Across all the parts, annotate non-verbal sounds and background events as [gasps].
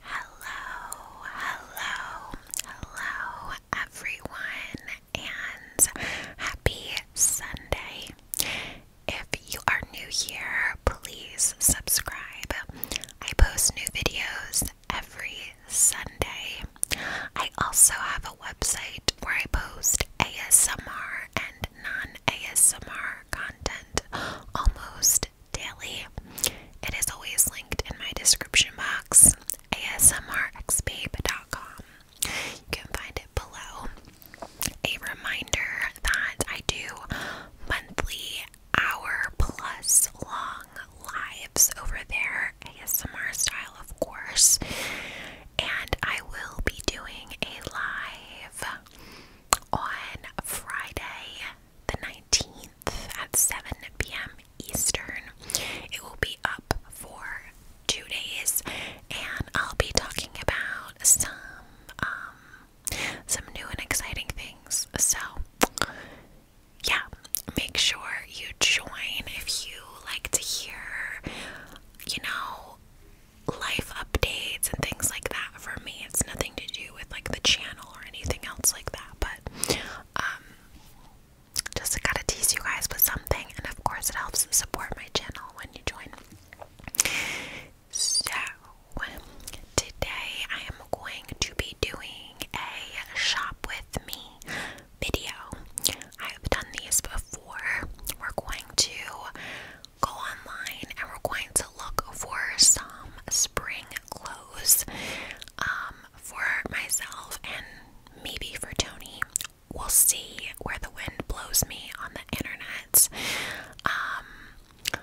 Hello, hello, hello, everyone, and happy Sunday. If you are new here, please subscribe. I post new videos every Sunday. I also have a website where I post ASMR and non ASMR content almost daily. It is always linked in my description box, asmrxbabe.com. You can find it below. A reminder that I do monthly hour plus long lives over there, ASMR style, of course. And I will be doing a live on Friday the 19th at 7 p.m. Eastern. It will be up for two days, and I'll be talking about some um, some new and exciting things. So, yeah, make sure you join if you like to hear, you know, life updates and things like that. For me, it's nothing to do with like the channel or anything else like that that, but just um, just to tease you guys with something, and of course, it helps support my channel when you join. So, today I am going to be doing a shop with me video. I have done these before. We're going to go online and we're going to look for some spring clothes um, for myself and maybe for Tony. We'll see where the wind blows me on the internet. Um,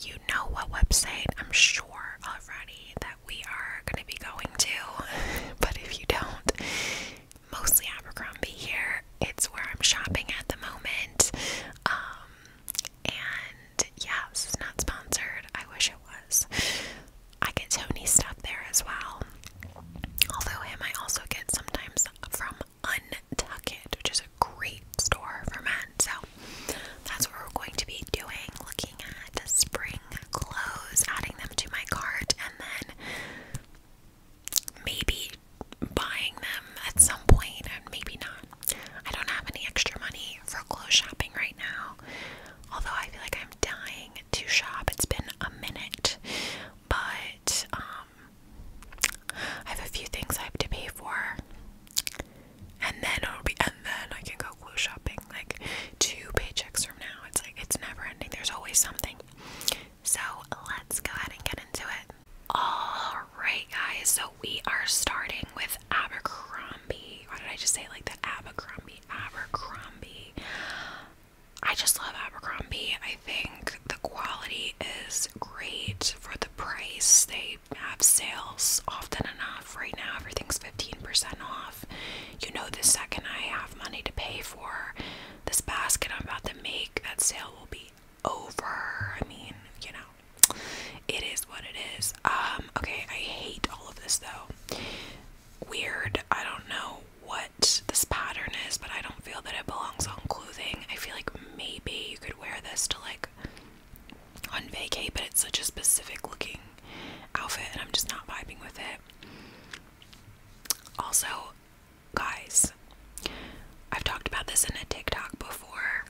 you know what website I'm sure already that we are going to be going to, [laughs] but if you don't, mostly Abercrombie here. It's where I'm shopping at the moment. Um, and yeah, this is not sponsored. I wish it was. I get Tony stuff there as well. Although him I also get sometimes from Untucked, which is a great store for men. So that's what we're going to be doing, looking at the spring clothes, adding them to my cart, and then maybe buying them at some point and maybe not. I don't have any extra money for clothes shopping right now. Although I feel like I'm dying to shop. It's been a minute. But um, I have a few things I have to pay for. And then it'll be and then I can go clothes shopping like two paychecks from now. It's like it's never ending. There's always something. So let's go ahead and get into it. Alright guys, so we are starting with Abercrombie. Why did I just say like the Abercrombie, Abercrombie. I just love Abercrombie. I think the quality is great for the price. They have sales often enough. Right now, everything's 15% off. You know, the second I have money to pay for this basket I'm about to make, that sale will be over. I mean, you know, it is what it is. Um, okay, I hate all of this though. Weird. I don't know what this pattern is, but I don't feel that it belongs on clothing. I feel like maybe you could wear this to like on vacay, but it's such a specific looking outfit and I'm just not vibing with it. Also, guys, I've talked about this in a TikTok before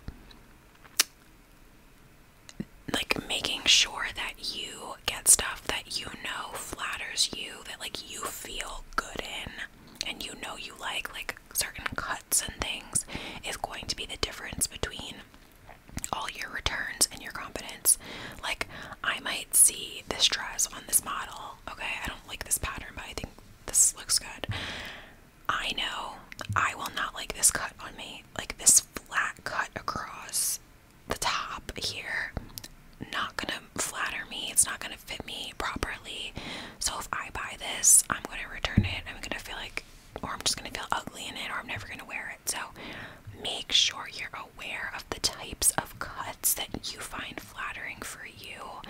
like making sure that you get stuff that you know flatters you, that like you feel good in and you know you like, like certain cuts and things is going to be the difference between all your returns and your confidence. Like, I might see this dress on this model. Okay, I don't like this pattern, but I think this looks good. I know I will not like this cut on me. Like this flat cut across the top here, not gonna flatter me. It's not gonna fit me properly. So if I buy this, I'm gonna return it. I'm gonna feel like, or I'm just gonna feel ugly in it, or I'm never gonna wear it. So make sure you're aware of the types of cuts that you find flattering for you,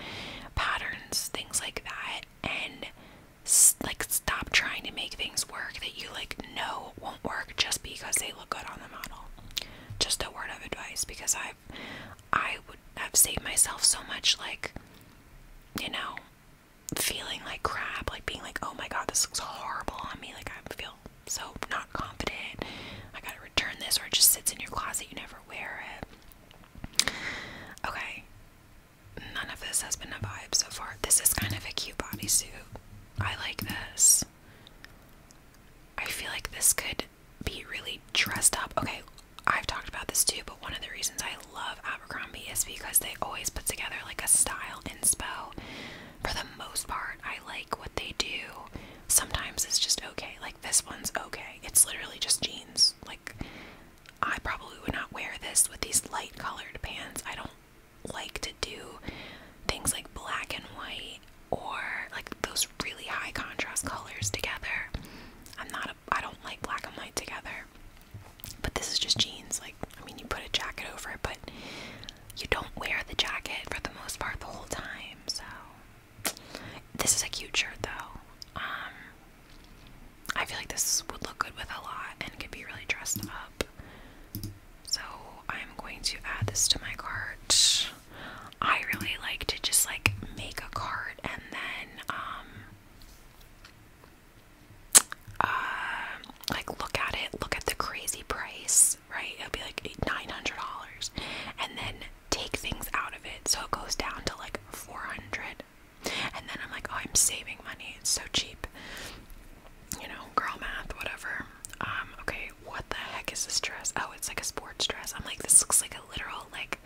patterns, things like that, and like stop trying to make things work that you like know won't work just because they look good on the model. Just a word of advice because I've I would have saved myself so much like you know feeling like crap, like being like, oh my god, this looks horrible on me, like I feel so not confident. I gotta return this or it just sits in your closet, you never wear it. Okay none of this has been a vibe so far. This is kind of a cute bodysuit. I like this. I feel like this could be really dressed up. Okay, I've talked about this too, but one of the reasons I love Abercrombie is because they always put together like a style inspo. For the most part, I like what they do. Sometimes it's just okay. Like this one's okay. It's literally just jeans. Like I probably would not wear this with these light colored pants. I don't like to do things like black and white or like those really high contrast colors together. I'm not a, I don't like black and white together. But this is just jeans. Like, I mean, you put a jacket over it, but you don't wear the jacket for the most part the whole time. So, this is a cute shirt though. Um, I feel like this would look good with a lot and could be really dressed up. So I'm going to add this to my cart. I really like to just like make a card and then um uh, like look at it, look at the crazy price, right? It'll be like nine hundred dollars and then take things out of it so it goes down to like four hundred and then I'm like, oh, I'm saving money. It's so cheap. You know, girl math, whatever. Um, okay, what the heck is this dress? Oh, it's like a sports dress. I'm like, this looks like a literal, like,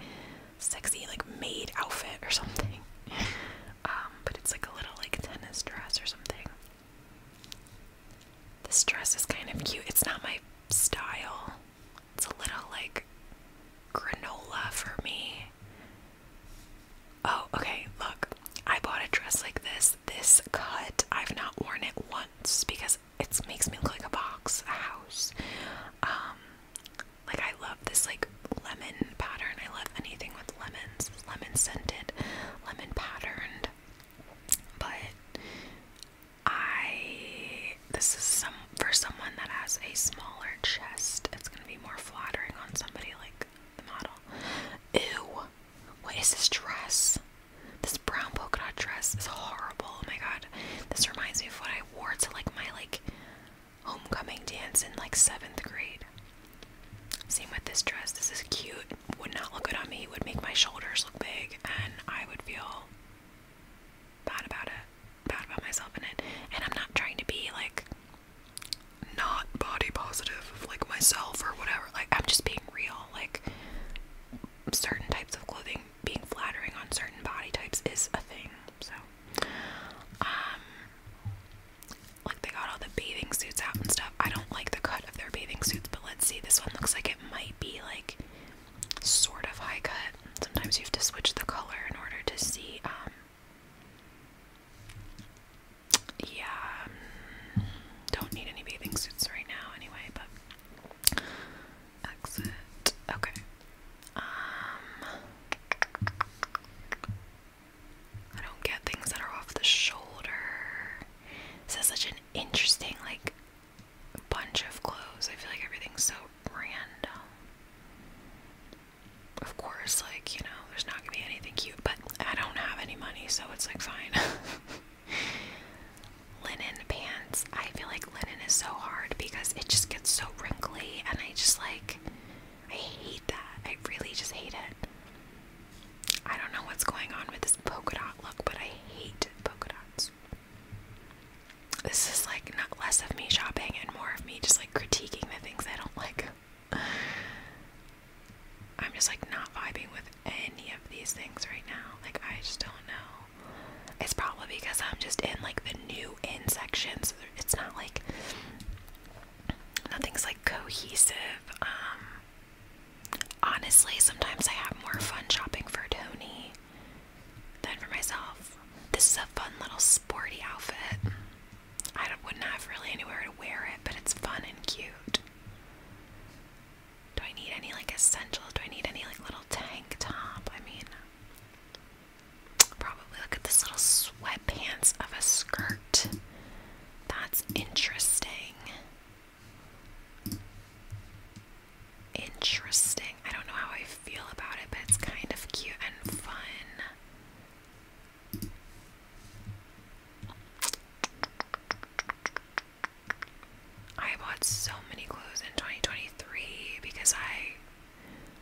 sexy, like, maid outfit or something. [laughs] Um, but it's like a little, like, tennis dress or something. This dress is kind of cute. It's not my style. It's a little, like, granola for me. Oh, okay, look. I bought a dress like this. This cut, I've not worn it once because it makes me look like a box, a house. Um, like I love this like lemon pattern. I love anything with lemons, lemon scented, lemon patterned. But I this is some for someone that has a smaller chest. It's gonna be more flattering on somebody like the model. Ew, what is this dress? This brown polka dot dress is horrible. Oh my god, this reminds me of what I wore to like my like homecoming dance in like seventh grade. Same with this dress. This is cute. Would not look good on me. would make my shoulders look big, and I would feel bad about it, bad about myself in it. And I'm not trying to be like not body positive like myself or whatever. Like I'm just being real. Like certain types of clothing being flattering on certain body types is a thing. So um like they got all the bathing suits out and stuff. I don't like the cut of their bathing suits, but let's see. This one looks like it might be like sort of high cut. Sometimes you have to switch the color in order to see um yeah, um, don't need any bathing suits right now anyway, but Okay. Um I don't get things that are off the shoulder. This is such an interesting like bunch of clothes. I feel like everything's so random of course, like, you know, there's not gonna be anything cute, but I don't have any money, so it's like fine. [laughs] linen pants. I feel like linen is so hard because it just gets so wrinkly, and I just like, I hate that. I really just hate it. I don't know what's going on with this polka dot look, but I hate polka dots. This is like not less of me shopping and more of me just like critiquing the things I don't like. I'm just like not vibing with any of these things right now. Like I just don't know. It's probably because I'm just in like the new in section, so it's not like nothing's like cohesive. Um honestly sometimes I have more fun shopping for Tony than for myself. This is a fun little sporty outfit. I wouldn't have really anywhere to wear it, but it's fun and cute. Do I need any like essential? Do I need any like little tank top? I mean, probably look at this little sweatpants of a skirt. That's interesting. Interesting. I don't know how I feel about it, but it's kind of cute and fun. I bought so many clothes in 2023 because I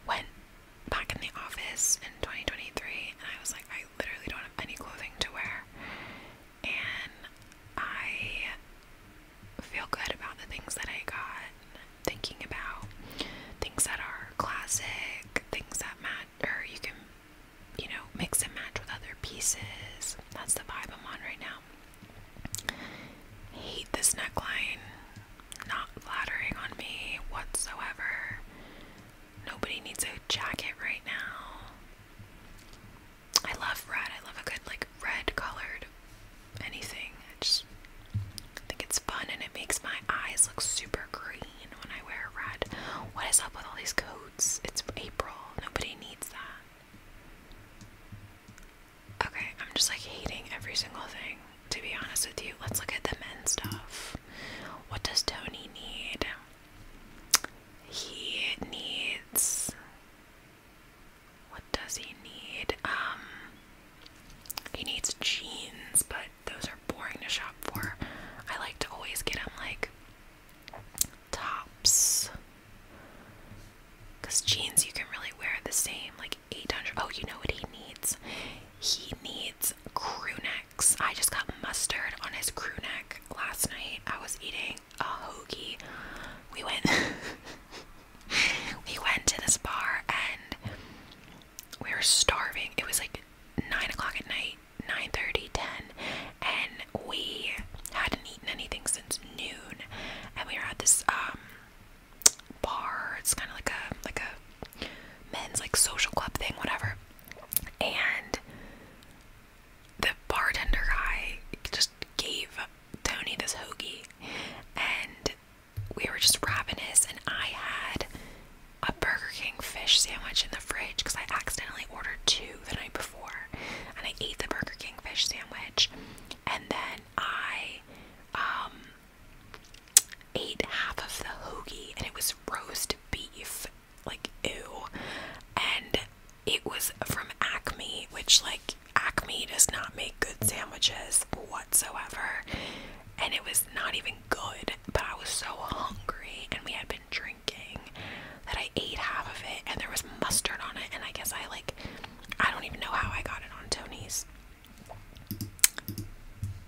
went back in the office in 2023 and I was like, I literally don't have any clothing to wear. And I feel good about the things that I got, thinking about things that are classic, things that match or you can, you know, mix and match with other pieces. That's the vibe I'm on right now. Hate this neckline. Not flattering on me whatsoever. Nobody needs a jacket right now. I love red. I love a good, like, red colored anything. I just think it's fun and it makes my eyes look super green when I wear red. What is up with all these coats? It's April. Nobody needs that. Okay, I'm just like hating every single thing, to be honest with you. Let's look at the men's stuff. What does Tony need? He needs. What does he need? Um, he needs jeans, but those are boring to shop for. I like to always get them like tops. Because jeans you can really wear the same, like 800. Oh, you know what he needs? He needs crew necks. I just got mustard on his crew neck last night. I was eating a hoagie. We went, [laughs] we went to this bar and we were starving. It was like nine o'clock at night, 9:30, 10, and we hadn't eaten anything since noon. And we were at this um, bar. It's kind of like a like a men's like social club thing, whatever. And the bartender guy just gave Tony this hoagie, and we were just ravenous. And I had a Burger King fish sandwich in the fridge because I accidentally ordered two the night before, and I ate the Burger King fish sandwich, and then I um, ate half of the hoagie, and it was roast beef, like ew, and it was from Acme, which like Acme does not make good sandwiches whatsoever, and it was not even good. But I was so hungry, and we had been drinking that I ate half of it, and there was mustard on it. And I guess I like, I don't even know how I got it on Tony's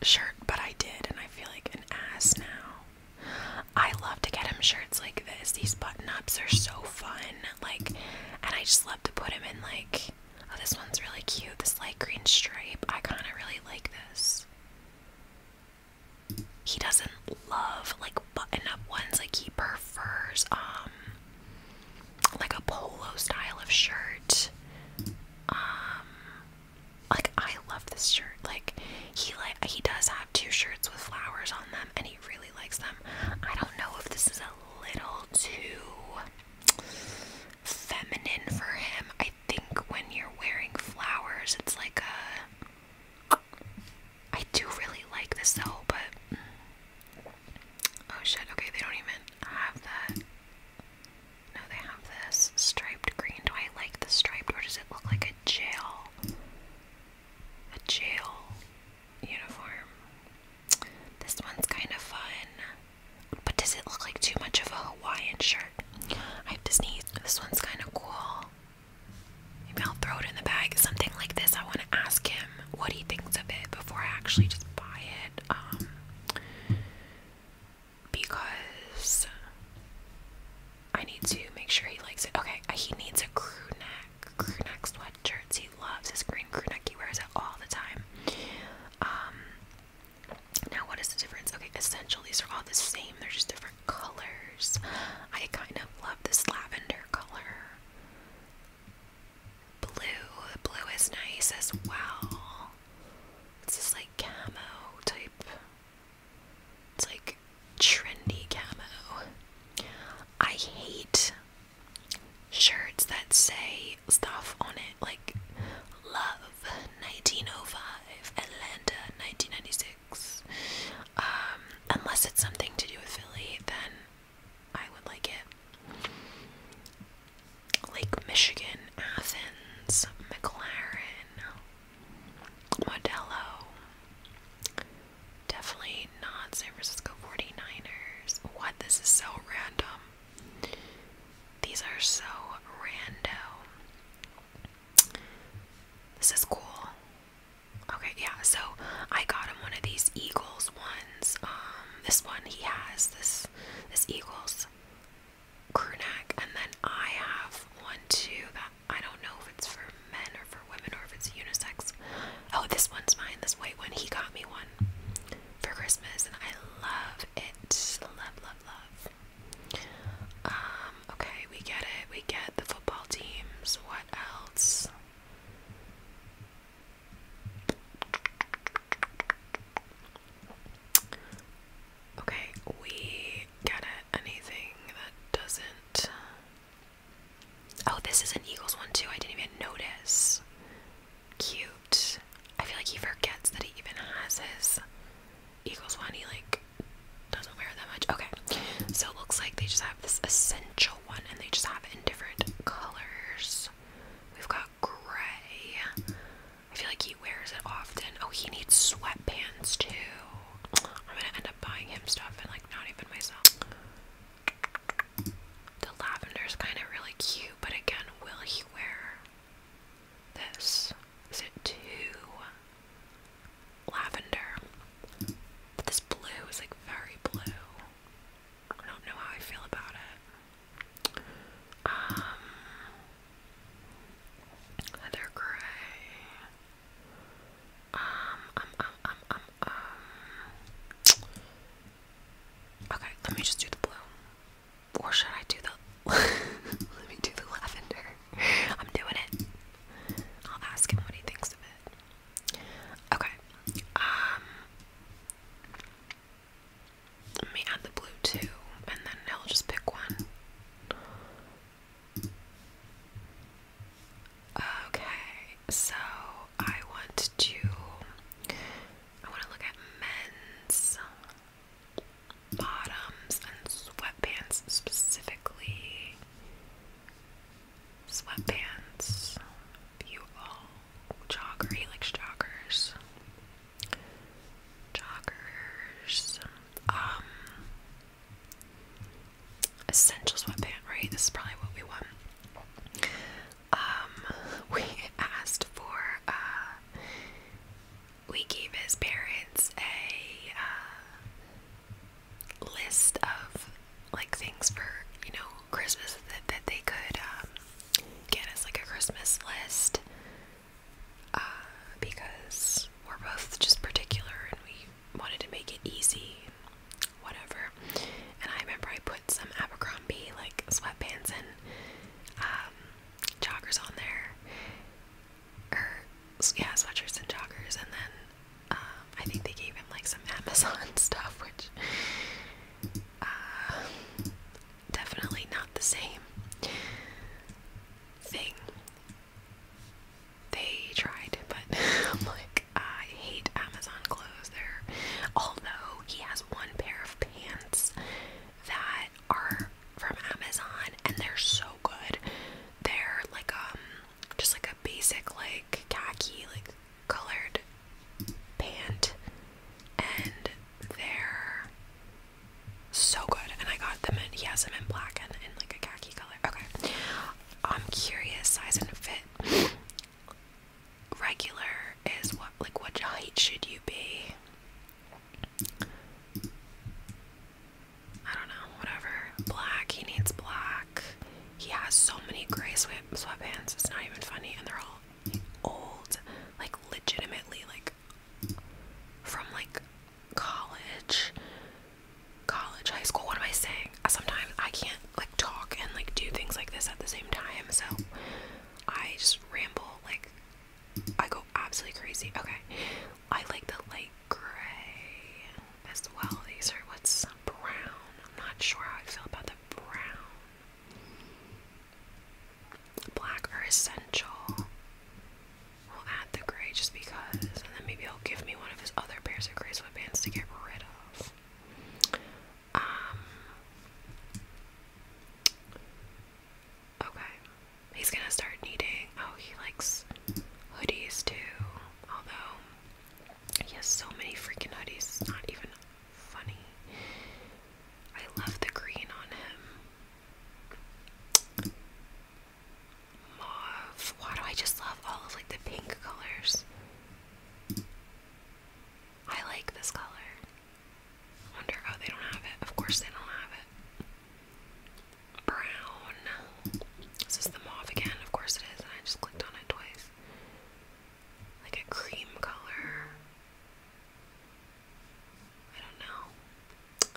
shirt, but I did, and I feel like an ass now. I love to get him shirts like this, these button ups are so fun. Like, and I just love to put him in, like, oh, this one's really cute. This light green stripe. I kind of really like this he doesn't love like button up ones like he prefers um like a polo style of shirt um like I love this shirt like he like he does have two shirts with flowers on them and he really likes them I don't know if this is a little too feminine for him I think when you're wearing flowers, it's like a. I do really like this though, but. Oh shit, okay, they don't even have that. No, they have this striped green. Do I like the striped or does it look like a jail? A jail uniform. This one's kind of fun. But does it look like too much of a Hawaiian shirt? I have to sneeze. This one's kind of cool. Maybe I'll throw it in the bag. Something like this. I want to ask him what he thinks of it before I actually just buy it. Um, because I need to make sure he likes it. Okay, uh, he needs a crew neck, crew neck sweatshirts. He loves his green crew neck. He wears it all the time. Um, now, what is the difference? Okay, essential, these are all the same, they're just different colors. I kind of love this lavender color. Blue, blue is nice as well. It's just like camo type, it's like trendy camo. I hate shirts that say stuff on it like love 1905, Atlanta 1996. Um, unless it's something to do with Philly, then I would like it. Lake Michigan, Athens, McLaren, Modelo. Definitely not San Francisco 49ers. What? This is so random. These are so random. This is cool. Okay, yeah, so I got him one of these Eagles ones. Um, this one he has this this Eagles crew neck, and then I have one too that I don't know if it's for men or for women or if it's unisex. Oh, this one's mine, this white one. He got me one for Christmas and I love it. Love, love, um, okay, we get it. We get the football teams. What else? Okay, we get it. Anything that doesn't. Oh, this is an Eagles one too. I didn't even notice. Cute. I feel like he forgets that he even has his Eagles one. He like doesn't wear that much. Okay, so it looks like they just have this essential one, and they just have it in different colors. We've got gray. I feel like he wears it often. Oh, he needs sweatpants too. I'm gonna end up buying him stuff and like not even myself. The lavender is kind of really cute, but again, will he wear this. Is it too lavender? this blue is like very blue. I don't know how I feel about it. Um, Heather Gray. um, um, um, um, um. Okay, let me just do the blue or should I do the [laughs] let me do the lavender? I'm doing it. I'll ask him what he thinks of it. Okay. Um let me add the blue too, and then he'll just pick one. Okay, so I want to I want to look at men's bottoms and sweatpants specifically. Sweatpants. You all jogger. He joggers. Joggers. Um. Essential sweatpant, right? This is probably what we want. Um, [laughs] we asked for uh, we gave his parents a uh, list of like things for you know Christmas that, that they could um, get as like a Christmas list uh, because we're both just particular and we wanted to make it easy, whatever. And I remember I put some Abercrombie like sweatpants in. Um, joggers on there, or yeah, sweatshirts and joggers, and then um, I think they gave him like some [laughs] Amazon stuff, which uh, definitely not the same thing they tried, but [laughs] i like, I hate Amazon clothes. There, although he has one pair of pants that are from Amazon and they're so good. They're like um just like a basic like khaki like colored pant and they're so good and I got them in he has them in black and in like a khaki color. Okay. I'm curious size and fit. Regular is what like what height should you be? I don't know, whatever. Black, he needs black. He has so many gray sweat sweatpants, it's not even funny, and they're all old, like legitimately like from like college college high school what am i saying sometimes i can't like talk and like do things like this at the same time so i just ramble like I go absolutely crazy. Okay, I like the light gray as well. These are what's brown. I'm not sure how I feel about the brown. Black are essential. We'll add the gray just because, and then maybe he'll give me one of his other pairs of gray sweatpants to get rid of. Um, okay. He's gonna start needing. Oh, he likes hoodies too. Although he has so many freaking hoodies, not even funny. I love the green on him. Mauve. Why do I just love all of like the pink colors? I like this color. Wonder, oh, they don't have it. Of course, they don't have it. Brown. Is the mauve again? Of course it is, and I just clicked on it twice. Like a cream color. I don't know.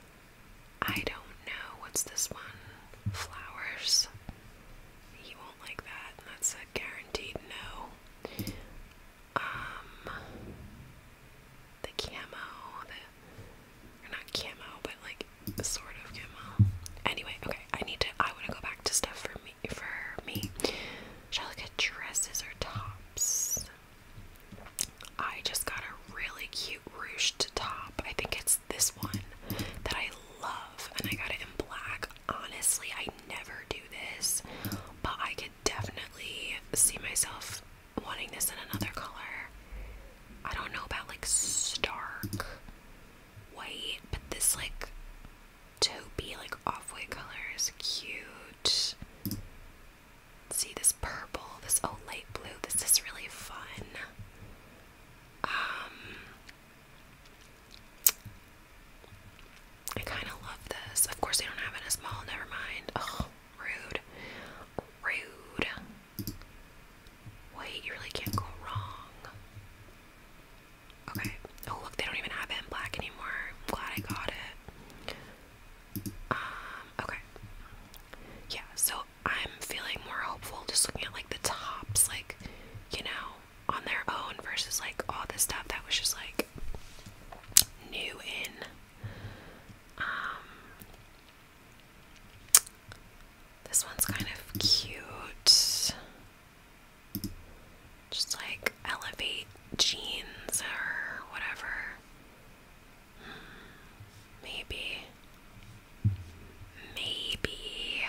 I don't know. What's this one? Flowers. He won't like that, that's a guaranteed no um, the camo, not camo, but like sort of camo. Anyway, okay, I need to, I want to go back to stuff for me, for me. Shall I look dresses or tops? I just got a really cute ruched top. I think it's this one that I love, and I got it in black. Honestly, I never do this, but I could definitely see myself wanting this in another color. I don't know about like stark white, but this like toby like off white color is cute. See this purple, this oh light blue, this is really fun. Um I kinda love this. Of course they don't have it in small, never mind. Oh Rude. Rude. Wait, you really can't go wrong. Okay. Oh, look, they don't even have it in black anymore. I'm glad I got it. Um, okay. Yeah, so I'm feeling more hopeful just looking at like the tops, like, you know, on their own versus like all this stuff that was just like new in um, this one's kind of cute. Just like elevate jeans or whatever. Hmm, maybe. Maybe.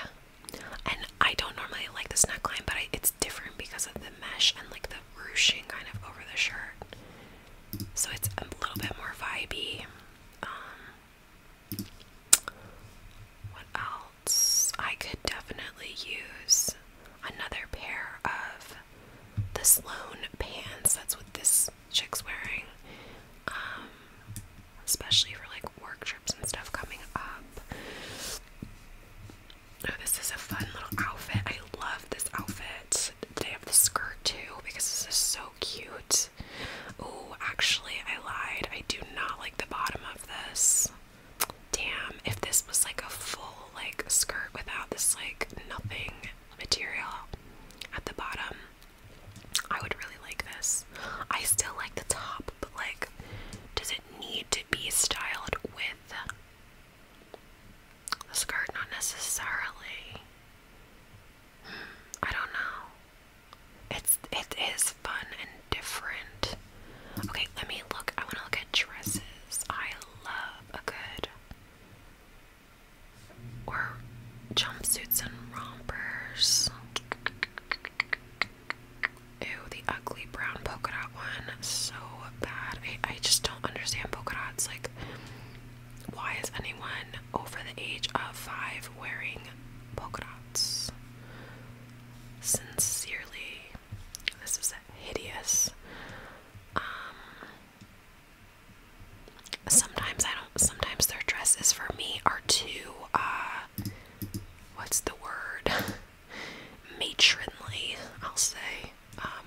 And I don't normally like this neckline, but it's different because of the mesh and like the ruching kind of over the shirt so it's a little bit more vibey. Um, what else? I could definitely use another pair of the Sloan pants. That's what this chick's wearing. Um, especially for like work trips and stuff coming up. Oh, this is a fun little outfit. I love this outfit. They have the skirt too because this is so cute. Oh, actually, I lied. I do not like the bottom of this. Damn, if this was like a full like skirt without this like nothing material at the bottom, I would really like this. I still like the top, but like, does it need to be styled with skirt, not necessarily. Hmm, I don't know. It's it is fun and different. Okay, let me look. I want to look at dresses. I love a good or jumpsuits and rompers. Ew, the ugly brown polka dot one. So bad. I just don't understand polka dots. Like, why is anyone over the age of five wearing polka dots? Sincerely, this is hideous. Um, sometimes I don't. Sometimes their dresses for me are too. Uh, what's the word? [laughs] Matronly, I'll say. Um,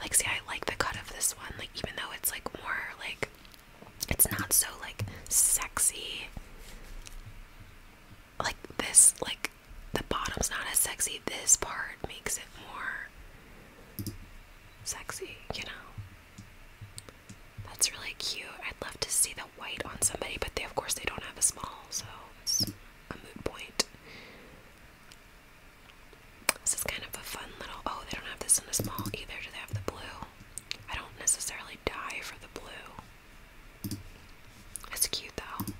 like see I like the cut of this one like even though it's like more like it's not so like sexy like this like the bottom's not as sexy this part makes it more sexy you know that's really cute I'd love to see the white on somebody but they of course they don't have a small so it's a good point this is kind of a fun little. Oh, they don't have this in a small either. Do they have the blue? I don't necessarily die for the blue. It's cute though.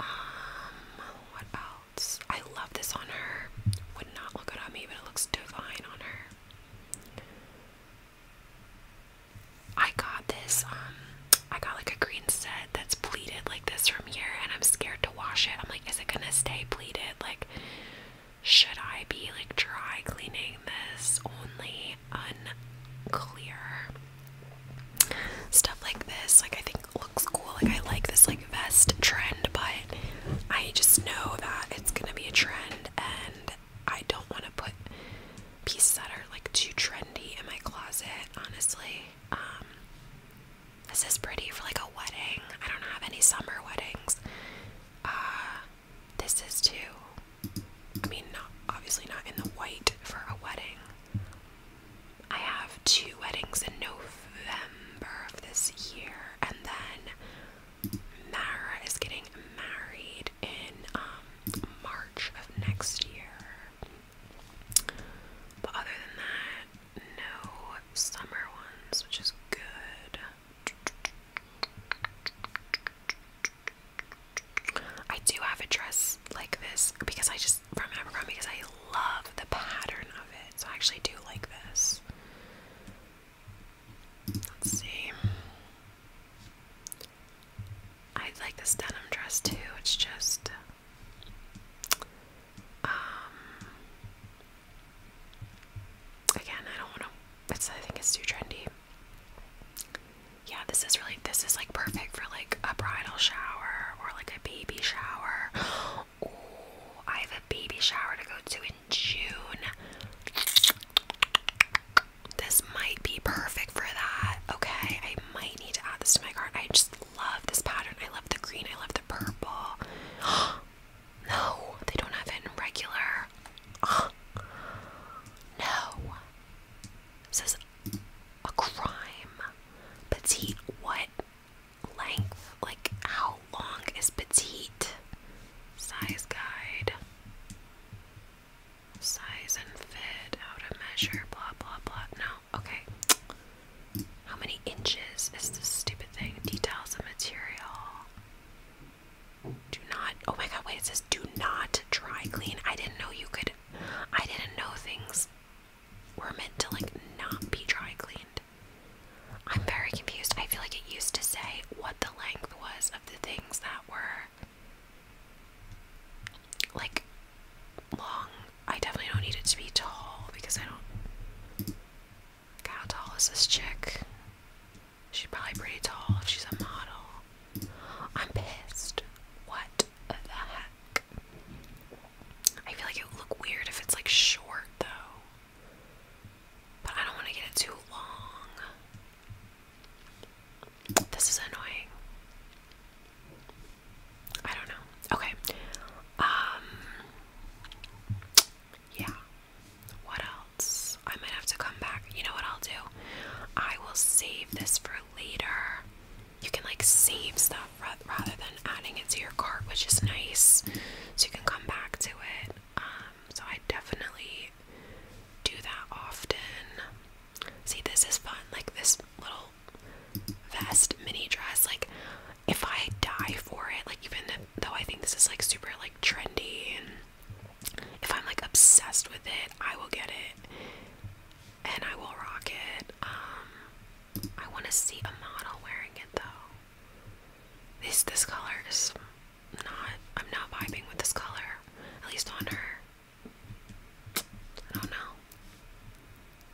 Um, what else? I love this on her. Would not look good on me, but it looks divine on her. I got this, um, I got like a green set red that's pleated like this from here and I'm scared to wash it. I'm like, is it gonna stay pleated? Like, should I be like dry cleaning this only? Unclear. Stuff like this, like I think looks cool. Like I like this like vest trend, but I just know that it's gonna be a trend and I don't wanna put pieces that are like too trendy in my closet, honestly. Um, this is pretty for like a wedding. I don't have any summer weddings. Uh, this is too. I mean, obviously not in the white for a wedding. I have two weddings in November of this year, and then Mara is getting married in um, March of next year. But other than that, no summer ones, which is good. I do have a dress like this because I just from Abercrombie because I love the pattern of it. So I actually do like this. Let's see. I like this denim dress too. It's just um, again, I don't want to. It's I think it's too trendy. Yeah, this is really this is like perfect for like a bridal shower or like a baby shower. [gasps] Oh, I have a baby shower to go to in June. This might be perfect for that. Okay, I might need to add this to my cart. I just love this pattern. I love the green. I love the purple. [gasps] no, they don't have it in regular. [gasps] no. This is a crime. Petite, what length? Like, how long is petite? Size guide. Size and fit, how to measure, blah blah blah. No, Okay. How many inches is this stupid thing? Details of material. Do not. Oh my god, wait, it says do not dry clean. I didn't know you could. I didn't know things were meant to, like, not be dry cleaned. I'm very confused. I feel like it used to say what the length was of the things that were, like, long. I definitely don't need it to be tall because I don't. how tall is this chick? She's probably pretty tall if she's a model. I'm pissed. What the heck? I feel like it would look weird if it's like short though. But I don't want to get it too long. This is annoying. I don't know. Okay. Um, yeah. What else? I might have to come back. You know what I'll do? I will save this for later. You can like save stuff rather than adding it to your cart, which is nice. So you can come back to it. Um, so I definitely do that often. See, this is fun. Like this little vest mini dress. Like, if I die for it, like, even though I think this is like super like trendy, and if I'm like obsessed with it, I will get it and I will rock it. Um, I want to see a model wearing it though. This this color is not. I'm not vibing with this color, at least on her. I don't know.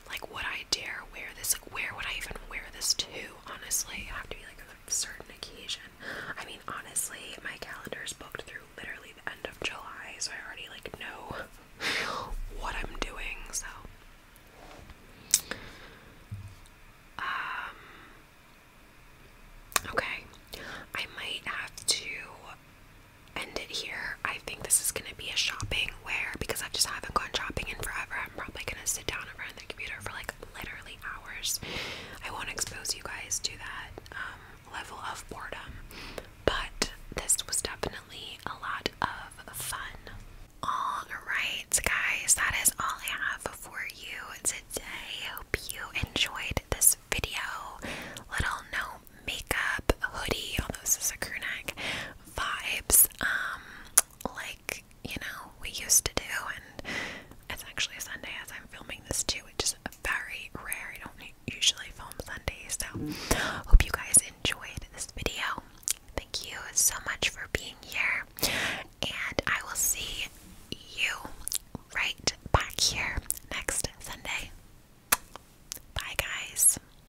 Like, would I dare wear this? Like, where would I even wear this to? Honestly, I have to be like a certain occasion. I mean, honestly, my calendar is booked through literally the end of July, so I already like know [laughs] what I'm doing. So, um, okay, I might have to end it here. I think this is gonna be a shopping where because I just haven't gone shopping in forever. I'm probably gonna sit down in front of the computer for like literally hours. I won't expose you guys to that um, level of boredom, but this was definitely a lot of fun. All right, guys, that is all I have for you today. I Hope you enjoyed this video. Little no makeup hoodie, although this is a crew vibes, um, like you know, we used to do. And it's actually Sunday as I'm filming this too, which is very rare. I don't usually film Sundays, so hope you guys enjoyed this video. Thank you so much for being here, and I will see you right back here next Sunday. Bye, guys.